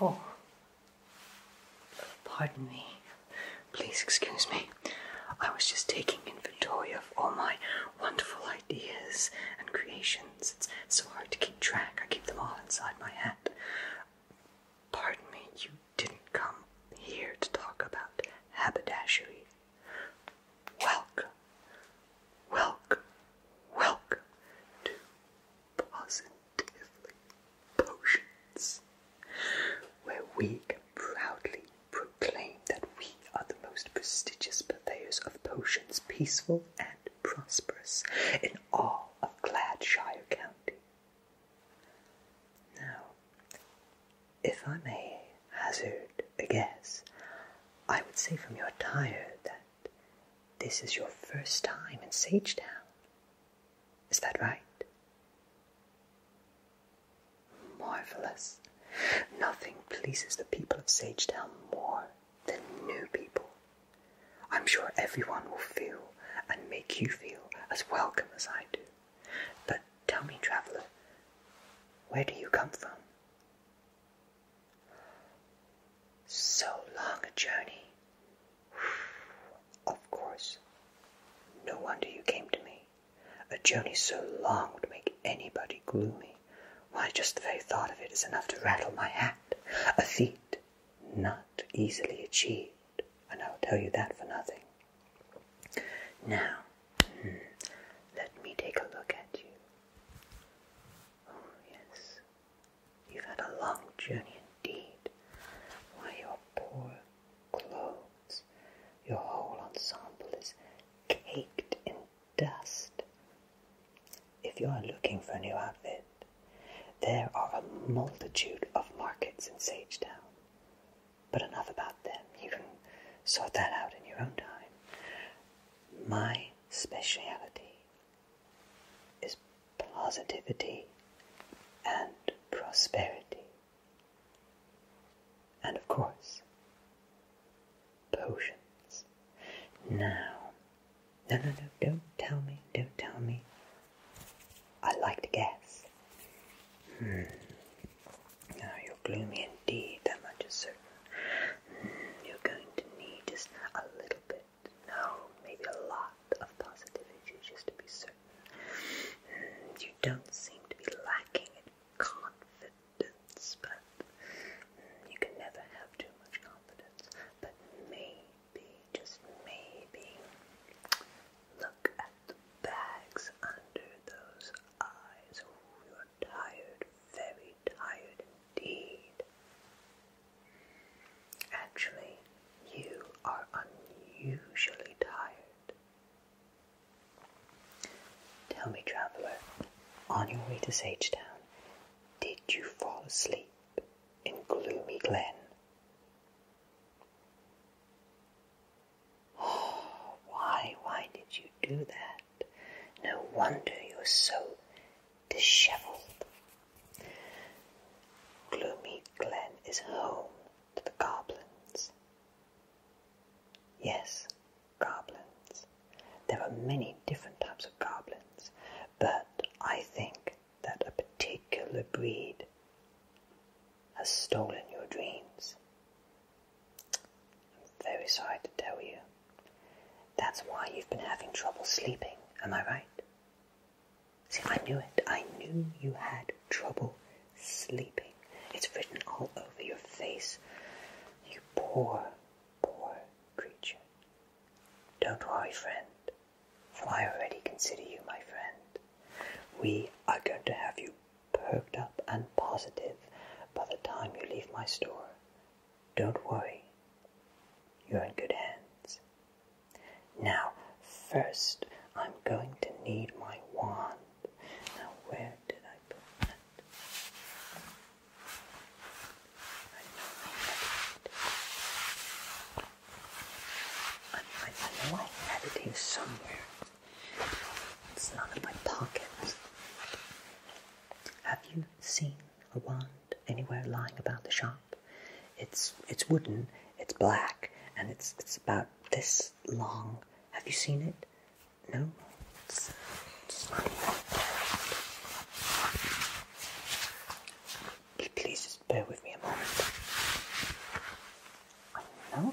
Oh. Pardon me. Please excuse me. I was just taking inventory of all my wonderful ideas and creations. It's so hard to keep track. I keep them all inside my hat. Pardon me, you didn't come here to talk about haberdashery, Welcome, welcome, welcome to Positively Potions, where we can proudly proclaim that we are the most prestigious purveyors of potions, peaceful and prosperous, in all of Gladshire County. Now, if I may hazard a guess, I would say from your attire that this is your first time in Sagetown. Is that right? Marvelous. Nothing pleases the people of Sagetown more than new people. I'm sure everyone will feel and make you feel as welcome as I do. But tell me, traveler, where do you come from? So long a journey. of course. No wonder you came to me. A journey so long would make anybody gloomy. Why, just the very thought of it is enough to rattle my hat. A feat not easily achieved, and I'll tell you that for nothing. Now, hmm, let me take a look at you. Oh, yes, you've had a long journey indeed. Why, your poor clothes, your whole ensemble is caked in dust. If you are looking for a new outfit, there are a multitude of markets in Sage Town. But enough about them. You can sort that out in your own time. My speciality is positivity and prosperity. And of course, potions. Now, no, no, no, don't tell me, don't tell me. I like to guess. Hmm. Now you're gloomy indeed, that much is certain. Hmm, you're going to need just a little bit, no, maybe a lot of positivity just to be certain. Hmm, you don't seem to be lacking in confidence, but hmm, you can never have too much confidence. But maybe, just maybe, look at the bags under those eyes. Oh, you're tired, very tired indeed. Actually, you are unusually tired. Tell me, traveler, on your way to Sagetown, did you fall asleep in Gloomy Glen? Why, why did you do that? No wonder you're so disheveled. Gloomy Glen is home to the goblins. Yes, goblins. There are many different types of goblins, but I think that a particular breed has stolen your dreams I'm very sorry to tell you. That's why you've been having trouble sleeping, am I right? See, I knew it. I knew you had trouble sleeping. It's written all over your face. You poor, poor creature. Don't worry, friend, for I already consider you my friend. We are going to have you perked up and positive by the time you leave my store. Don't worry, you're in good hands. Now, first, I'm going to need my wand. Now, where did I put that? I know I, I, I know I had it here somewhere. It's not in my pocket. Have you seen a wand anywhere lying about the shop. It's it's wooden, it's black, and it's it's about this long. Have you seen it? No. Please just bear with me a moment. I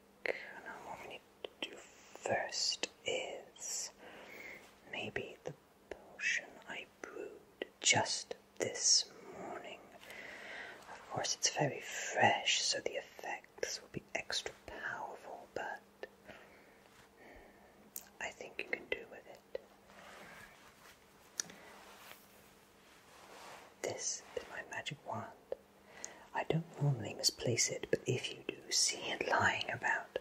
now what we need to do first is maybe the potion I brewed just this morning. Of course, it's very fresh, so the effects will be extra powerful, but hmm, I think you can do with it. This is my magic wand. I don't normally misplace it, but if you do see it lying about,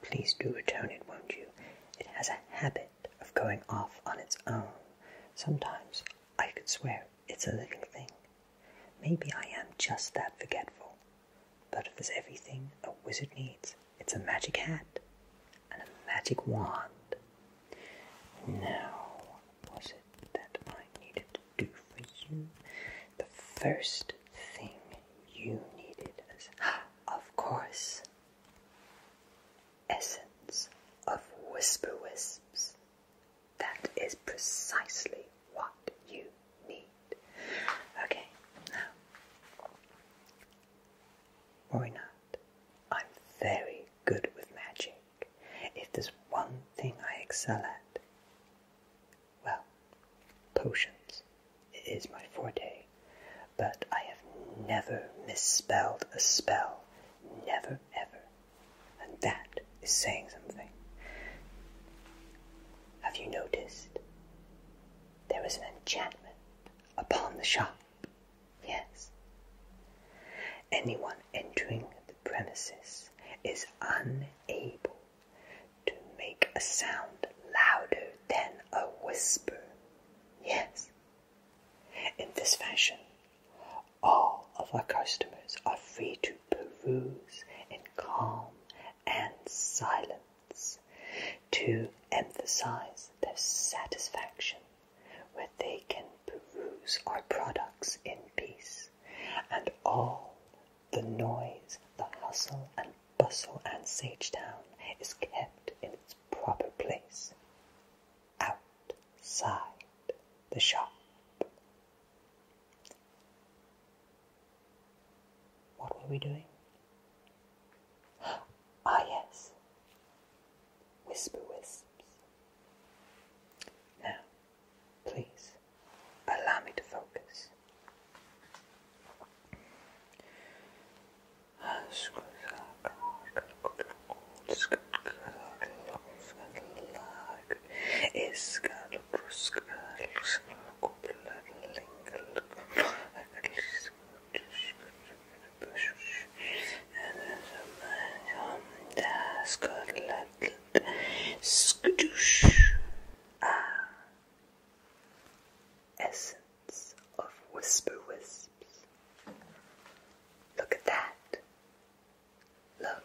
please do return it, won't you? It has a habit of going off on its own. Sometimes I could swear it's a little thing. Maybe I am just that forgetful, but if there's everything a wizard needs, it's a magic hat and a magic wand. Now, was it that I needed do for you, the first thing you needed is, of course, essence of whisper wisps. That is precisely what you need. Okay, now, worry not. I'm very good with magic. If there's one thing I excel at, well, potions it is my forte, but I have never misspelled a spell. Never, ever. And that is saying something. Have you noticed? There is an enchantment upon the shop. Yes. Anyone entering the premises is unable to make a sound louder than a whisper. Yes. In this fashion, all of our customers are free to peruse in calm and silence to emphasize their satisfaction when they can peruse our products in peace and all the noise, the hustle and bustle and Sagetown is kept in its proper place outside the shop. What were we doing? Ah, yes, whisper wisps. Now, Please allow me to focus. Skadoosh. Essence of Whisper Wisps. Look at that. Look.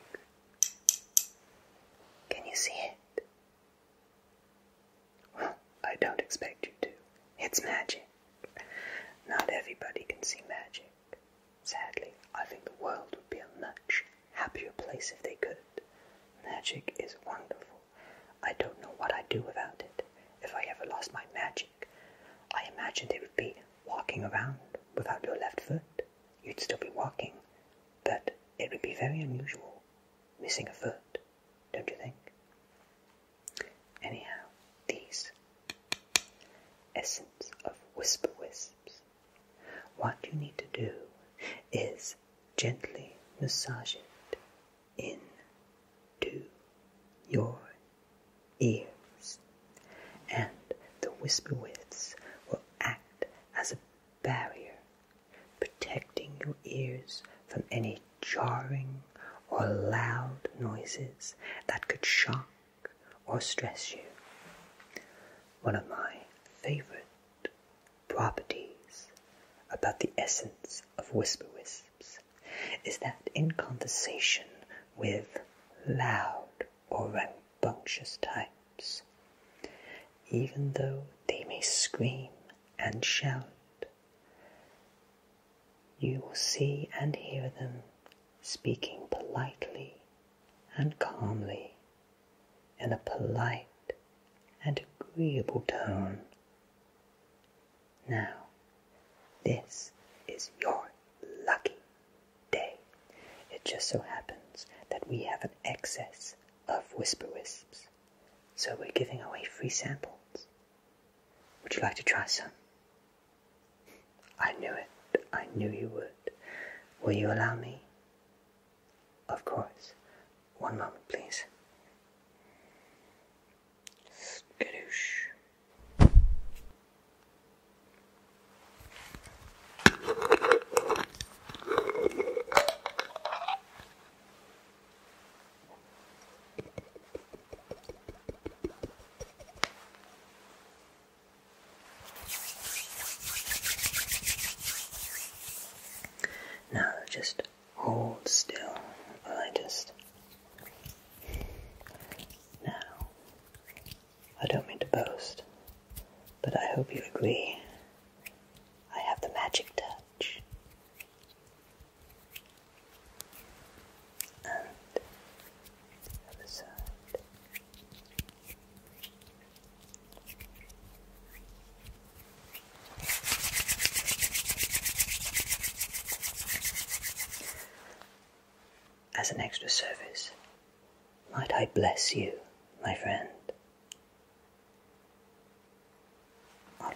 Can you see it? I don't expect you to. It's magic. Not everybody can see magic. Sadly, I think the world would be a much happier place if they could. Magic is wonderful. I don't know what I'd do without it. If I ever lost my magic, I imagine it would be walking around without your left foot. You'd still be walking, but it would be very unusual missing a foot, don't you think? Anyhow, these essence of whisper wisps what you need to do is gently massage it into your ears, and the whisper widths will act as a barrier, protecting your ears from any jarring or loud noises that could shock or stress you. One of my favorite properties about the essence of whisper wisps is that in conversation with loud or rambunctious types, even though they may scream and shout, you will see and hear them speaking politely and calmly in a polite and agreeable tone. Now, this is your lucky day. It just so happens that we have an excess of whisper wisps, so we're giving away free samples. Would you like to try some? I knew it. I knew you would. Will you allow me? Of course. One moment, please. Skadoosh. Now just hold still I just. Now, I don't mean to boast, but I hope you agree. I have the magic touch. And the other side. As an extra service, might I bless you, my friend? All right.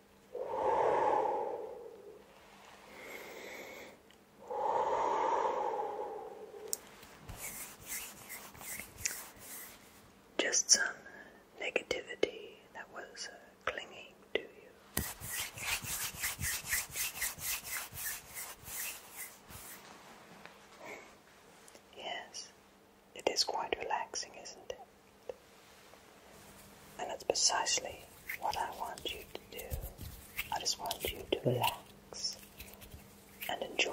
Just some negativity that was uh, clinging to you. Yes, it is quite relaxing, isn't it? And that's precisely what I want you to do. I just want you to relax and enjoy.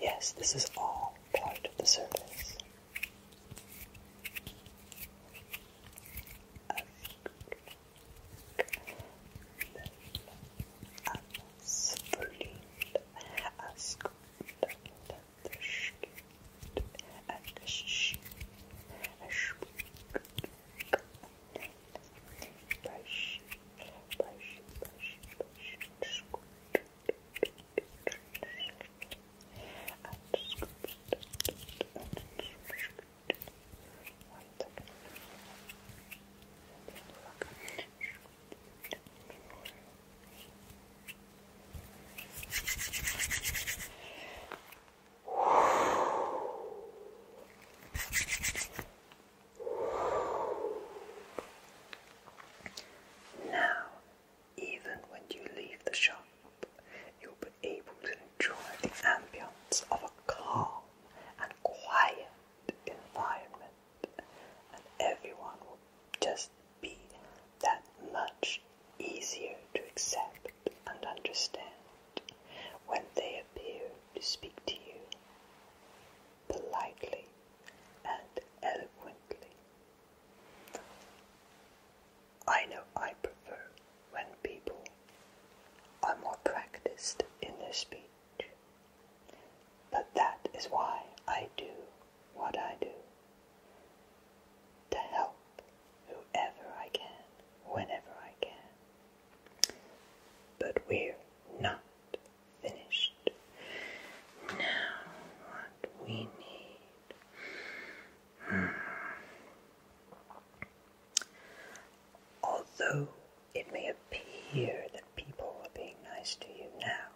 Yes, this is all part of the service and sh brush, brush, brush, brush, scoop, and scoop, and scoop. One second. Now, even when you leave the shop, you'll be able to enjoy the ambience of a calm and quiet environment, and everyone will just be that much easier to accept and understand when they appear to speak to you politely and eloquently. I know I prefer when people are more practiced in their speech, but that is why I do what I do to help whoever I can, whenever I can. But we're not finished. Now, what we need. Hmm. Although it may appear that people are being nice to you now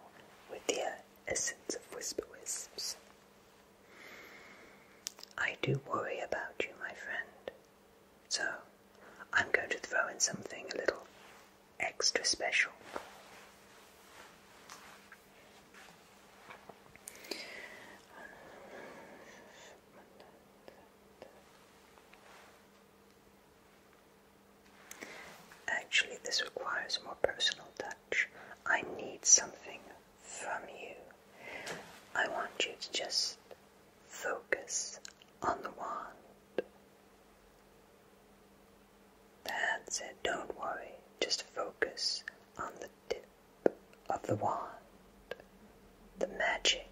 with the essence of whisper wisps, I do worry about you, my friend. So, I'm going to throw in something a little extra special. Actually, this requires more personal time. I need something from you. I want you to just focus on the wand. That's it. Don't worry. Just focus on the tip of the wand. The magic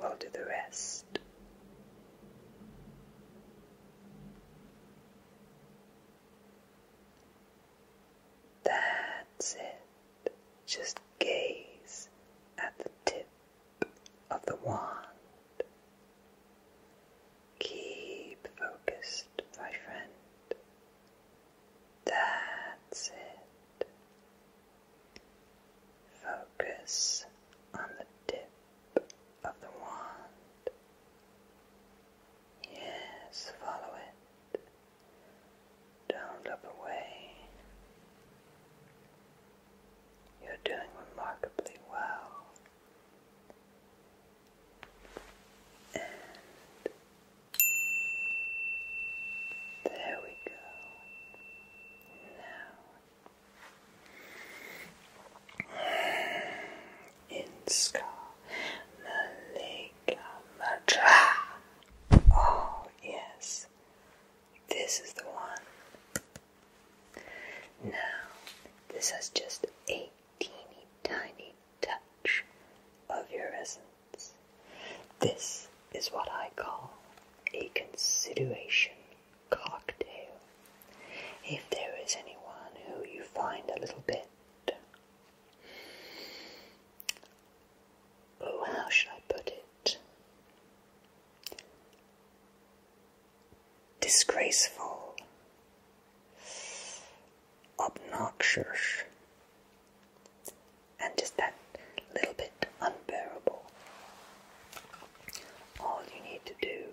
will do the rest. That's it. Just gaze at the tip of the wand. Keep focused, my friend. That's it. Focus on the tip of the wand. Yes, follow it. Don't look away. You're doing remarkably well. And there we go. Now, in Cleopatra. Oh, yes, this is the one. Now, this has just a teeny tiny touch of your essence. This is what I call a consideration cocktail. If there is anyone who you find a little bit Oh, how should I put it? Disgraceful, obnoxious, and just that little bit unbearable. All you need to do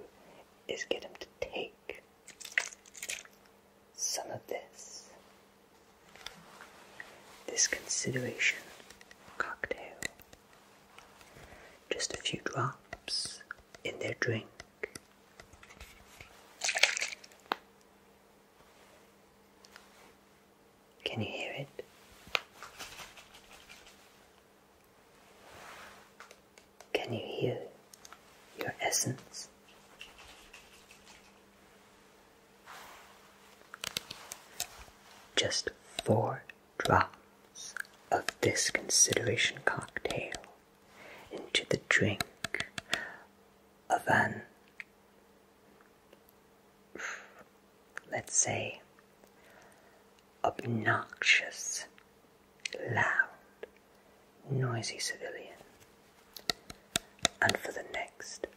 is get him to take some of this. This consideration cocktail. Just a few drops in their drink. Can you hear it? Can you hear your essence? Just four drops of this consideration cocktail into the drink of an, let's say, obnoxious, loud noisy civilian. And for the next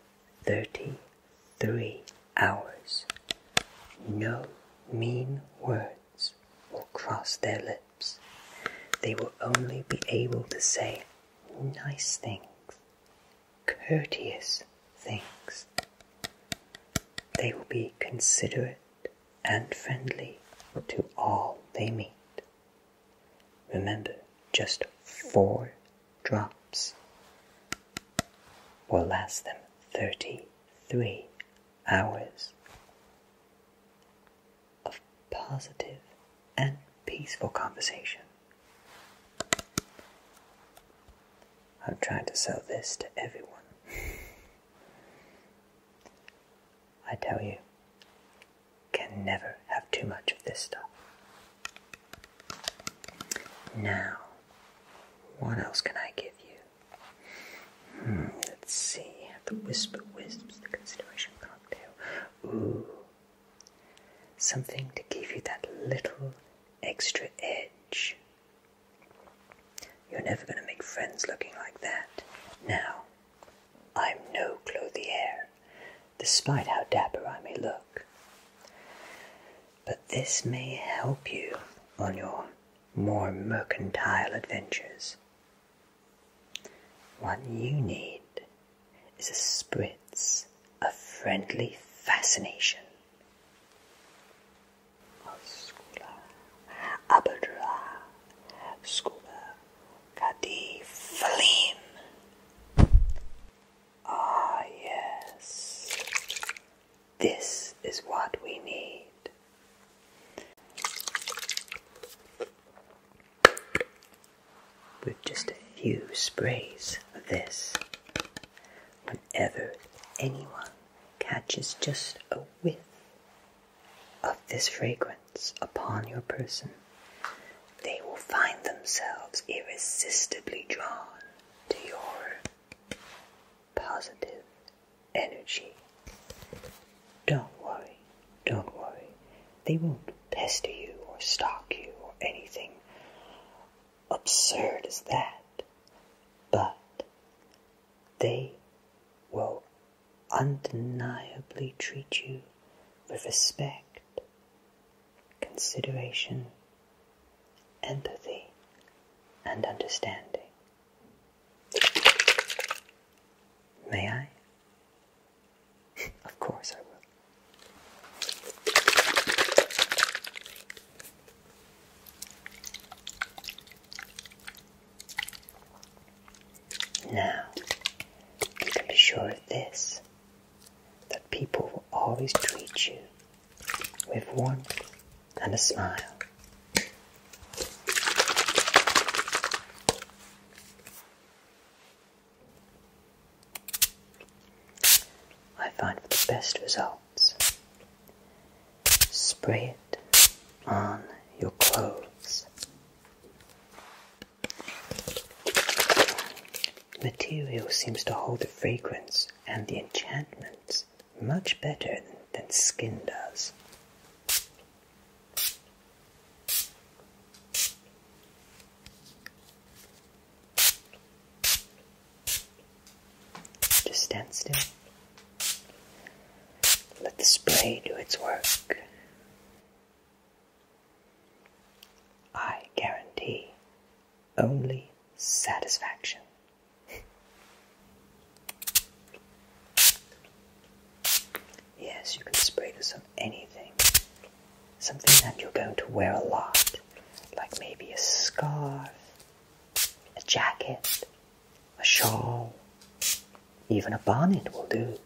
33 hours, no mean words will cross their lips. They will only be able to say nice things, courteous things. They will be considerate and friendly to all they meet. Remember, just four drops will last them 33 hours of positive and peaceful conversation. I'm trying to sell this to everyone. I tell you, can never have too much of this stuff. Now, what else can I give you? Hmm, let's see. The Wisp of Wisps, the Consideration Cocktail. Ooh. Something to give you that little extra edge. You're never going to make friends looking like that. Now, I'm no clothier, despite how dapper I may look. But this may help you on your more mercantile adventures. What you need is a spritz of friendly fascination. abadra, scuba, Kadiflim. Ah, yes. This is what we need. With just a few sprays of this, whenever anyone catches just a whiff of this fragrance, upon your person, they will find themselves irresistibly drawn to your positive energy. Don't worry, don't worry. They won't pester you or stalk you or anything absurd as that, but they will undeniably treat you with respect consideration, empathy, and understanding. May I? of course I will. Now, you can be sure of this that people will always treat you with warmth and a smile. I find the best results. Spray it on your clothes. Material seems to hold the fragrance and the enchantments much better than skin does. Just stand still. Let the spray do its work. I guarantee only satisfaction. yes, you can spray this on anything. Something that you're going to wear a lot, like maybe a scarf, a jacket, a shawl, even a bonnet will do.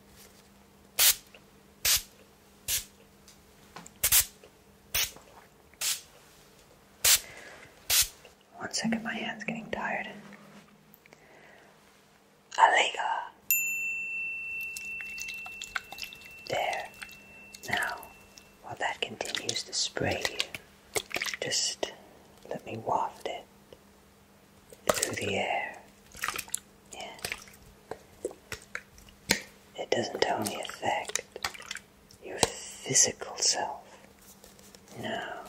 One second, my hand's getting tired. Alega. There. Now, while that continues to spray you, just let me waft it through the air. Yeah. It doesn't only affect your physical self. No.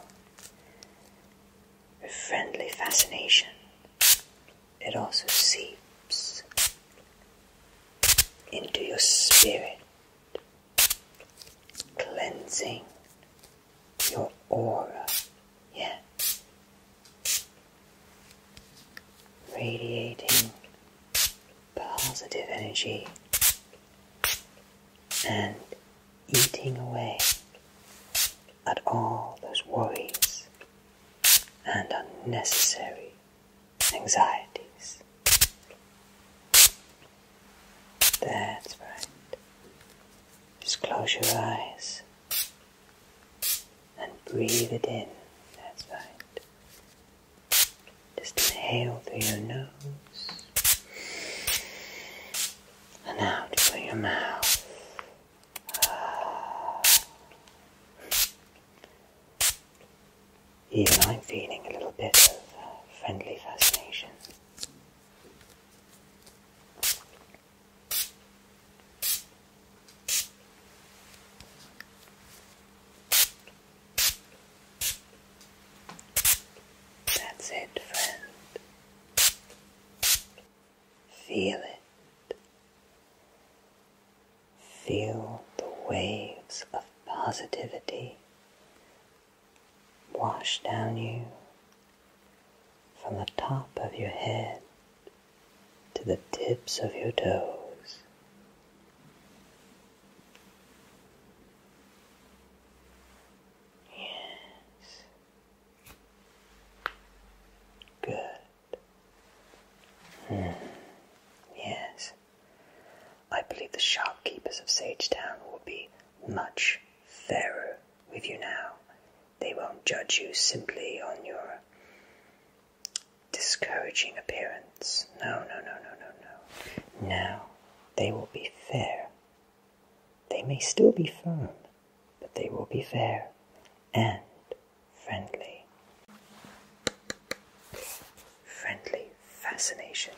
A friendly fascination. It also seeps into your spirit, cleansing your aura yeah, radiating positive energy and eating away at all those worries and unnecessary anxieties. That's right. Just close your eyes and breathe it in. That's right. Just inhale through your nose and out through your mouth. Even I'm feeling a little bit of friendly fascination. That's it, friend. Feel it. Feel the waves of positivity wash down you from the top of your head to the tips of your toes. Yes. Good. Hmm. Yes. I believe the shopkeepers of Sagetown will be much fairer with you now they won't judge you simply on your discouraging appearance. No, no, no, no, no, no. Now, they will be fair. They may still be firm, but they will be fair and friendly. Friendly fascination.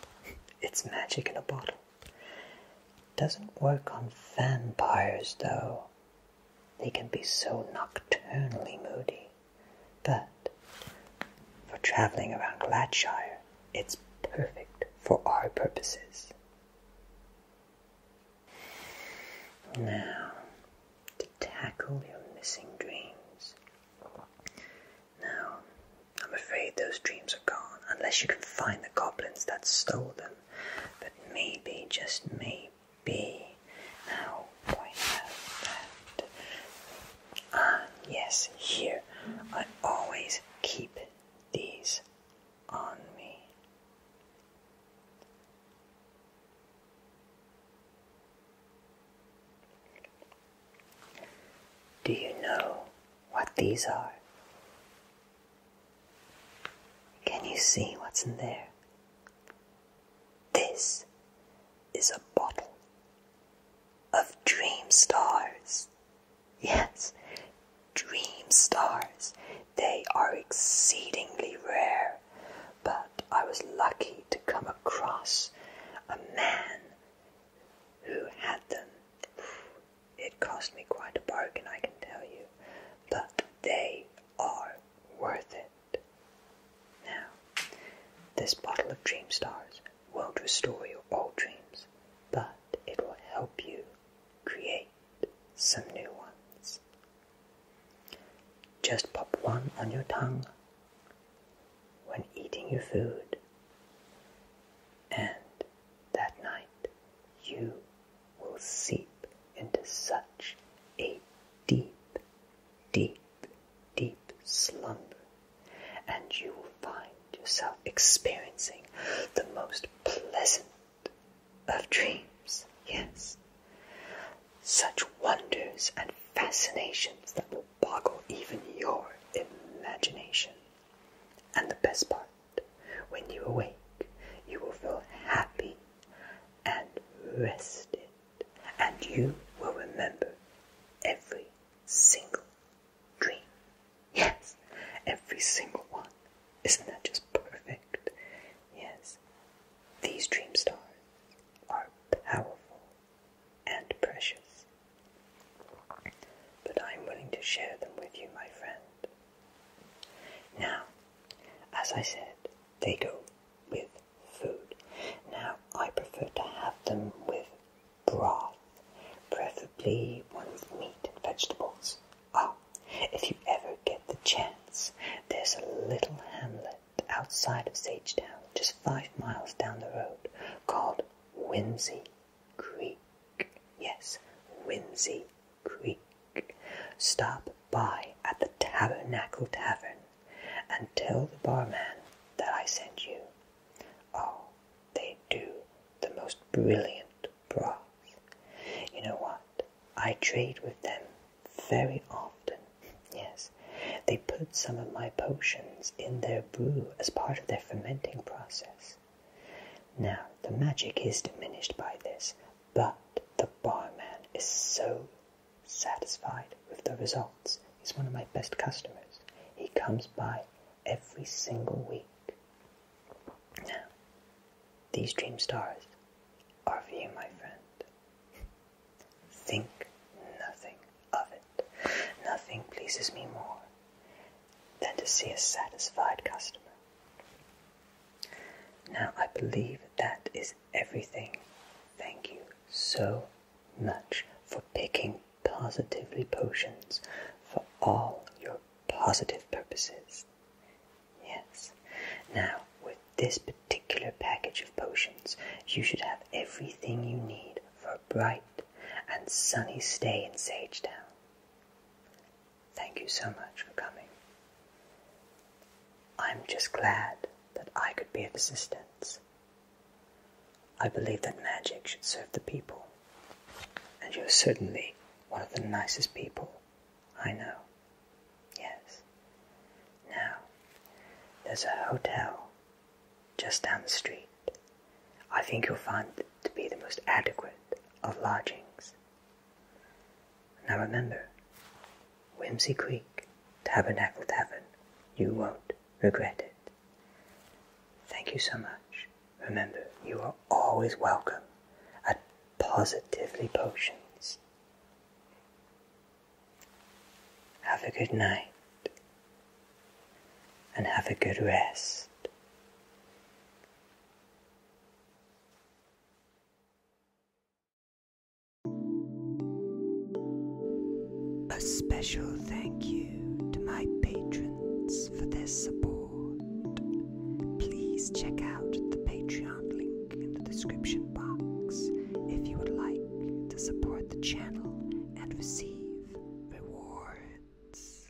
It's magic in a bottle. Doesn't work on vampires, though. They can be so nocturnally moody, but for travelling around Gladshire, it's perfect for our purposes. Now, to tackle your missing dreams. Now, I'm afraid those dreams are gone unless you can find the goblins that stole them. But maybe, just maybe, B. Now point out that. Ah, yes, here. I always keep these on me. Do you know what these are? Can you see what's in there? This is a bottle of dream stars. Yes, dream stars. They are exceedingly rare, but I was lucky to come across a man who had them. It cost me quite a bargain, I can tell you, but they are worth it. Now, this bottle of Dream Stars won't restore your old dreams, but it will help you create some new ones. Just pop one on your tongue when eating your food, and that night you will seep into such a deep, deep, deep slumber, and you will find yourself experiencing the most pleasant of dreams. Yes, such wonders and fascinations that will boggle even your imagination. And the best part, when you awake, you will feel happy and rested, and you will remember every single dream. Yes, every single one. Isn't that just perfect? Yes, these dream stars are powerful and precious. But I'm willing to share them with you, my friend. Now, as I said, they go with food. Now, I prefer to have them with broth, preferably one with meat and vegetables. Ah, if you ever get the chance, there's a little hamlet outside of Sagetown, just five miles down the road, called Whimsy Creek. Yes, Whimsy creek, stop by at the Tabernacle Tavern and tell the barman that I sent you. Oh, they do the most brilliant broths. You know what? I trade with them very often. Yes, they put some of my potions in their brew as part of their fermenting process. Now, the magic is diminished by this, but the barman is so satisfied with the results. He's one of my best customers. He comes by every single week. Now, these dream stars are for you, my friend. Think nothing of it. Nothing pleases me more than to see a satisfied customer. Now, I believe that is everything. Thank you so much for picking positively potions for all your positive purposes. Yes. Now, with this particular package of potions, you should have everything you need for a bright and sunny stay in Sagetown. Thank you so much for coming. I'm just glad that I could be of assistance. I believe that magic should serve the people, and you're certainly one of the nicest people I know. Yes. Now, there's a hotel just down the street. I think you'll find it to be the most adequate of lodgings now remember, Whimsy Creek, Tabernacle Tavern, you won't regret it. Thank you so much. Remember, you are always welcome at Positively Potions. Have a good night and have a good rest. A special thank you to my patrons for their support. Please check out the Patreon link in the description box if you would like to support the channel and receive rewards.